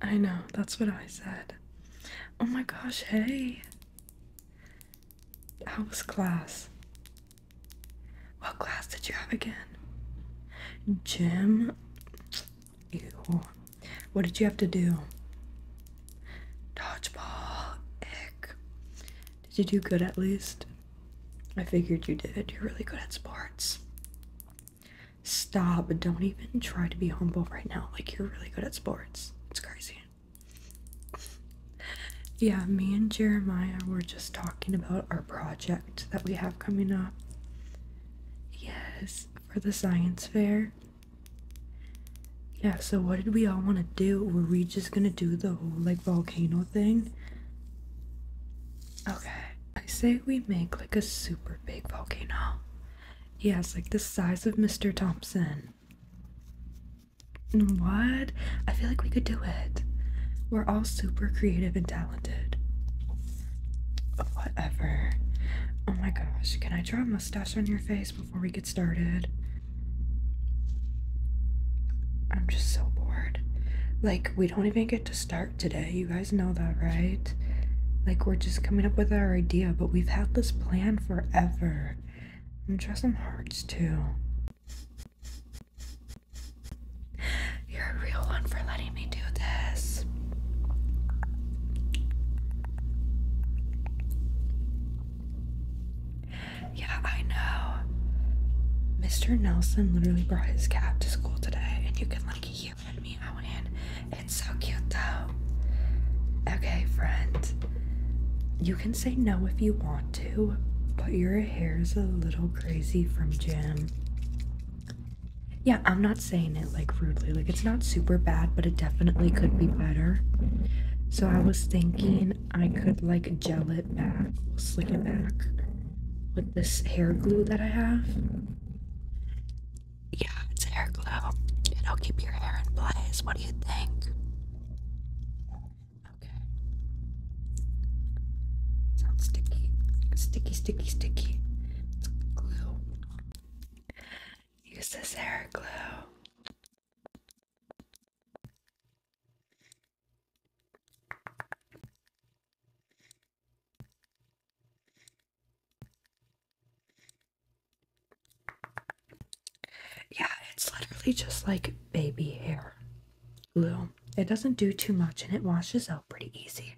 I know, that's what I said. Oh my gosh, hey. How was class? What class did you have again? Gym? Ew. What did you have to do? Dodgeball. Ick. Did you do good at least? I figured you did. You're really good at sports. Stop. Don't even try to be humble right now. Like, you're really good at sports. It's crazy. yeah, me and Jeremiah were just talking about our project that we have coming up. Yes, for the science fair. Yeah, so what did we all want to do? Were we just gonna do the whole like volcano thing? Okay, I say we make like a super big volcano. Yes, like the size of Mr. Thompson. What? I feel like we could do it. We're all super creative and talented. Whatever. Oh my gosh, can I draw a mustache on your face before we get started? I'm just so bored. Like, we don't even get to start today. You guys know that, right? Like, we're just coming up with our idea, but we've had this plan forever. And trust going some hearts too. You're a real one for letting me do this. Yeah, I know. Mr. Nelson literally brought his cat to school today, and you can, like, keep me Owen. It's so cute though. Okay, friend. You can say no if you want to, but your hair is a little crazy from gym. Yeah, I'm not saying it like rudely. Like it's not super bad, but it definitely could be better. So I was thinking I could like gel it back, slick it back with this hair glue that I have. Yeah, it's hair glue. It'll keep your hair in place. What do you think? Okay. Sounds sticky. Sticky, sticky, sticky. glue. Use this hair glue. Yeah, it's literally just like baby hair glue. It doesn't do too much and it washes out pretty easy.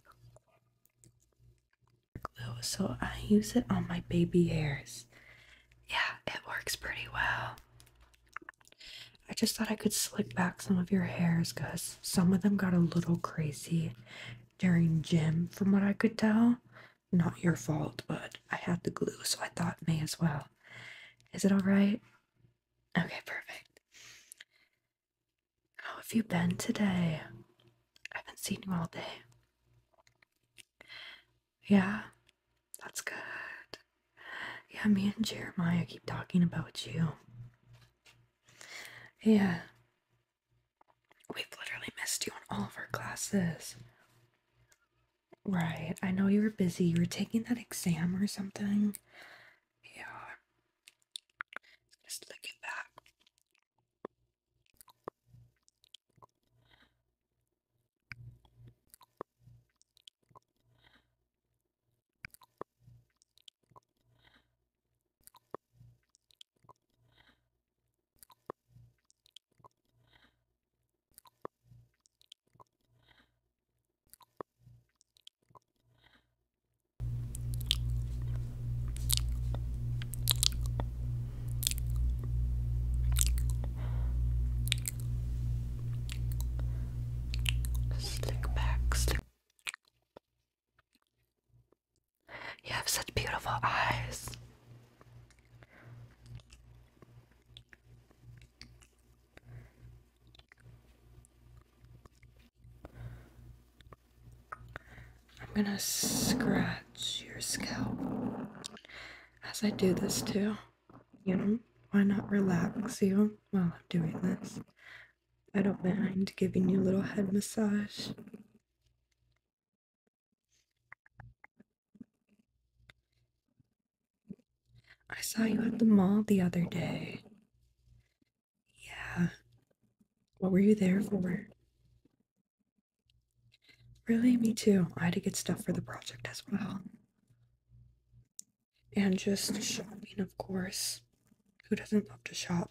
Glue, so I use it on my baby hairs. Yeah, it works pretty well. I just thought I could slick back some of your hairs because some of them got a little crazy during gym, from what I could tell. Not your fault, but I had the glue, so I thought may as well. Is it alright? Okay, perfect. How have you been today? I haven't seen you all day. Yeah, that's good. Yeah, me and Jeremiah keep talking about you. Yeah, We've literally missed you in all of our classes. Right, I know you were busy. You were taking that exam or something. Yeah. Just look at that. Slick back, slick. You have such beautiful eyes. I'm gonna scratch your scalp as I do this too. You know, why not relax you while I'm doing this? I don't mind giving you a little head massage. I saw you at the mall the other day. Yeah. What were you there for? Really, me too. I had to get stuff for the project as well. And just shopping, of course. Who doesn't love to shop?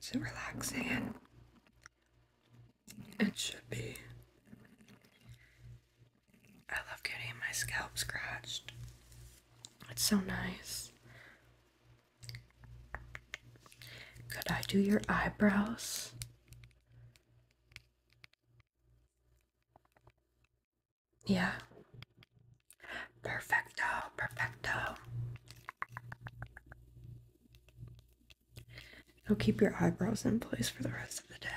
Is it relaxing? It should be. I love getting my scalp scratched. It's so nice. Could I do your eyebrows? Yeah. Perfecto, perfecto. Now keep your eyebrows in place for the rest of the day.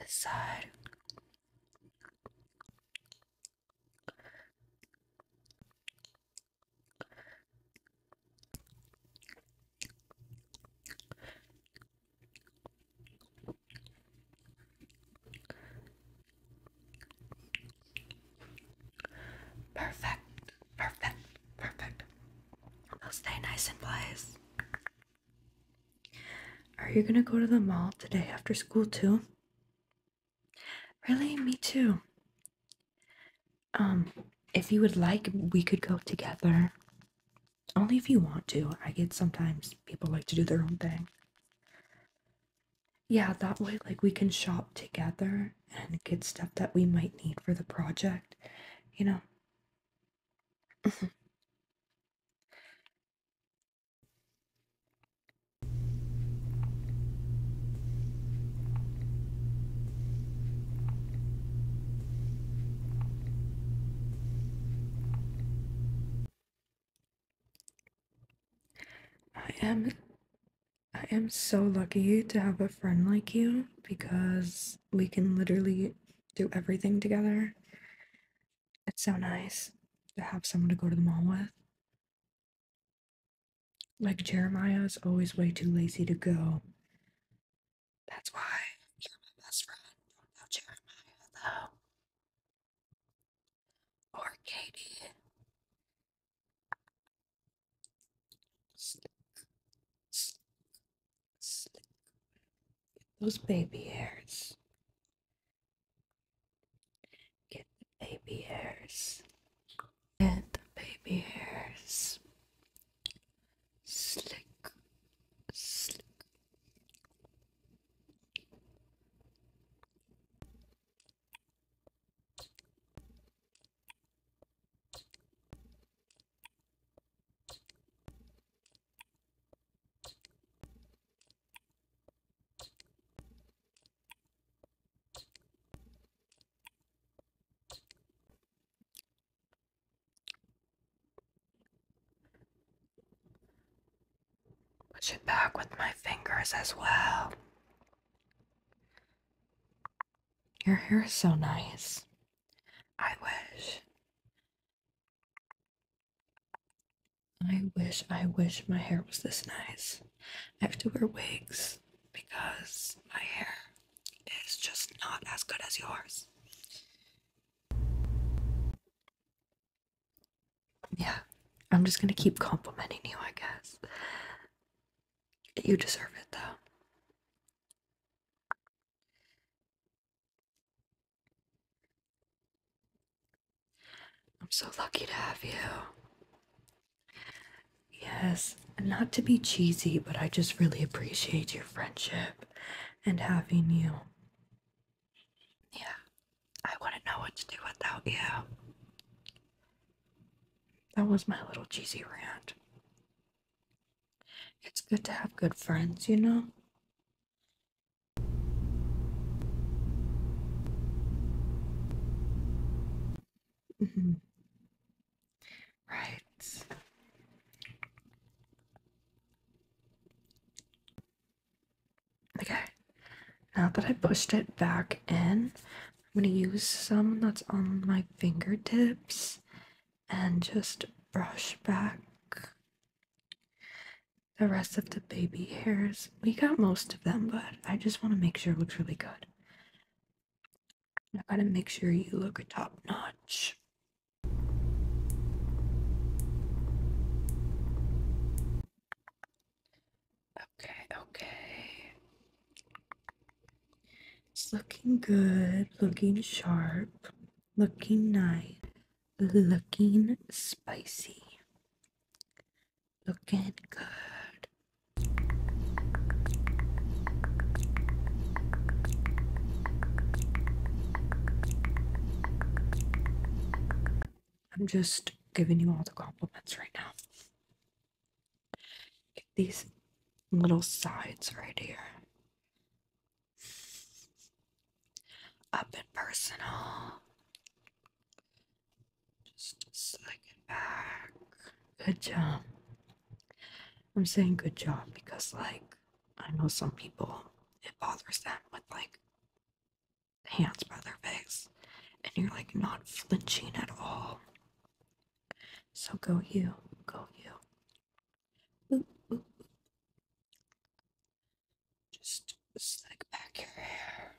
This side. Perfect, perfect, perfect. Now stay nice in place. Are you gonna go to the mall today after school too? Really? Me too. Um, if you would like, we could go together. Only if you want to. I get sometimes people like to do their own thing. Yeah, that way, like, we can shop together and get stuff that we might need for the project, you know. I am I am so lucky to have a friend like you because we can literally do everything together. It's so nice to have someone to go to the mall with. Like Jeremiah is always way too lazy to go. That's why you're my best friend. Don't know Jeremiah though. Or Katie. Those baby hairs. Get the baby hairs. Get the baby hairs. Slick, slick. Push it back with my fingers as well. Your hair is so nice. I wish I wish, I wish my hair was this nice. I have to wear wigs because my hair is just not as good as yours. Yeah, I'm just gonna keep complimenting you, I guess. You deserve it though. I'm so lucky to have you. Yes, not to be cheesy, but I just really appreciate your friendship and having you. Yeah, I wouldn't know what to do without you. That was my little cheesy rant. It's good to have good friends, you know? Mhm. Right. Okay. Now that I pushed it back in, I'm going to use some that's on my fingertips and just brush back the rest of the baby hairs. We got most of them, but I just want to make sure it looks really good. I gotta make sure you look top notch. Okay, okay. It's looking good, looking sharp, looking nice, looking spicy. Looking good. I'm just giving you all the compliments right now. these little sides right here up and personal. Just slack it back. Good job. I'm saying good job because, like, I know some people, it bothers them with, like, hands by their face, and you're, like, not flinching at all. So go you, go you. Just slick back your hair.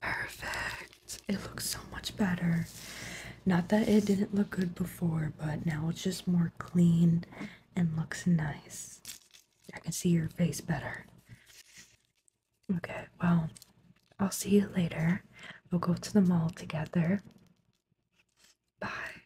Perfect. It looks so much better. Not that it didn't look good before, but now it's just more clean and looks nice. I can see your face better. Okay, well, I'll see you later. We'll go to the mall together. Bye.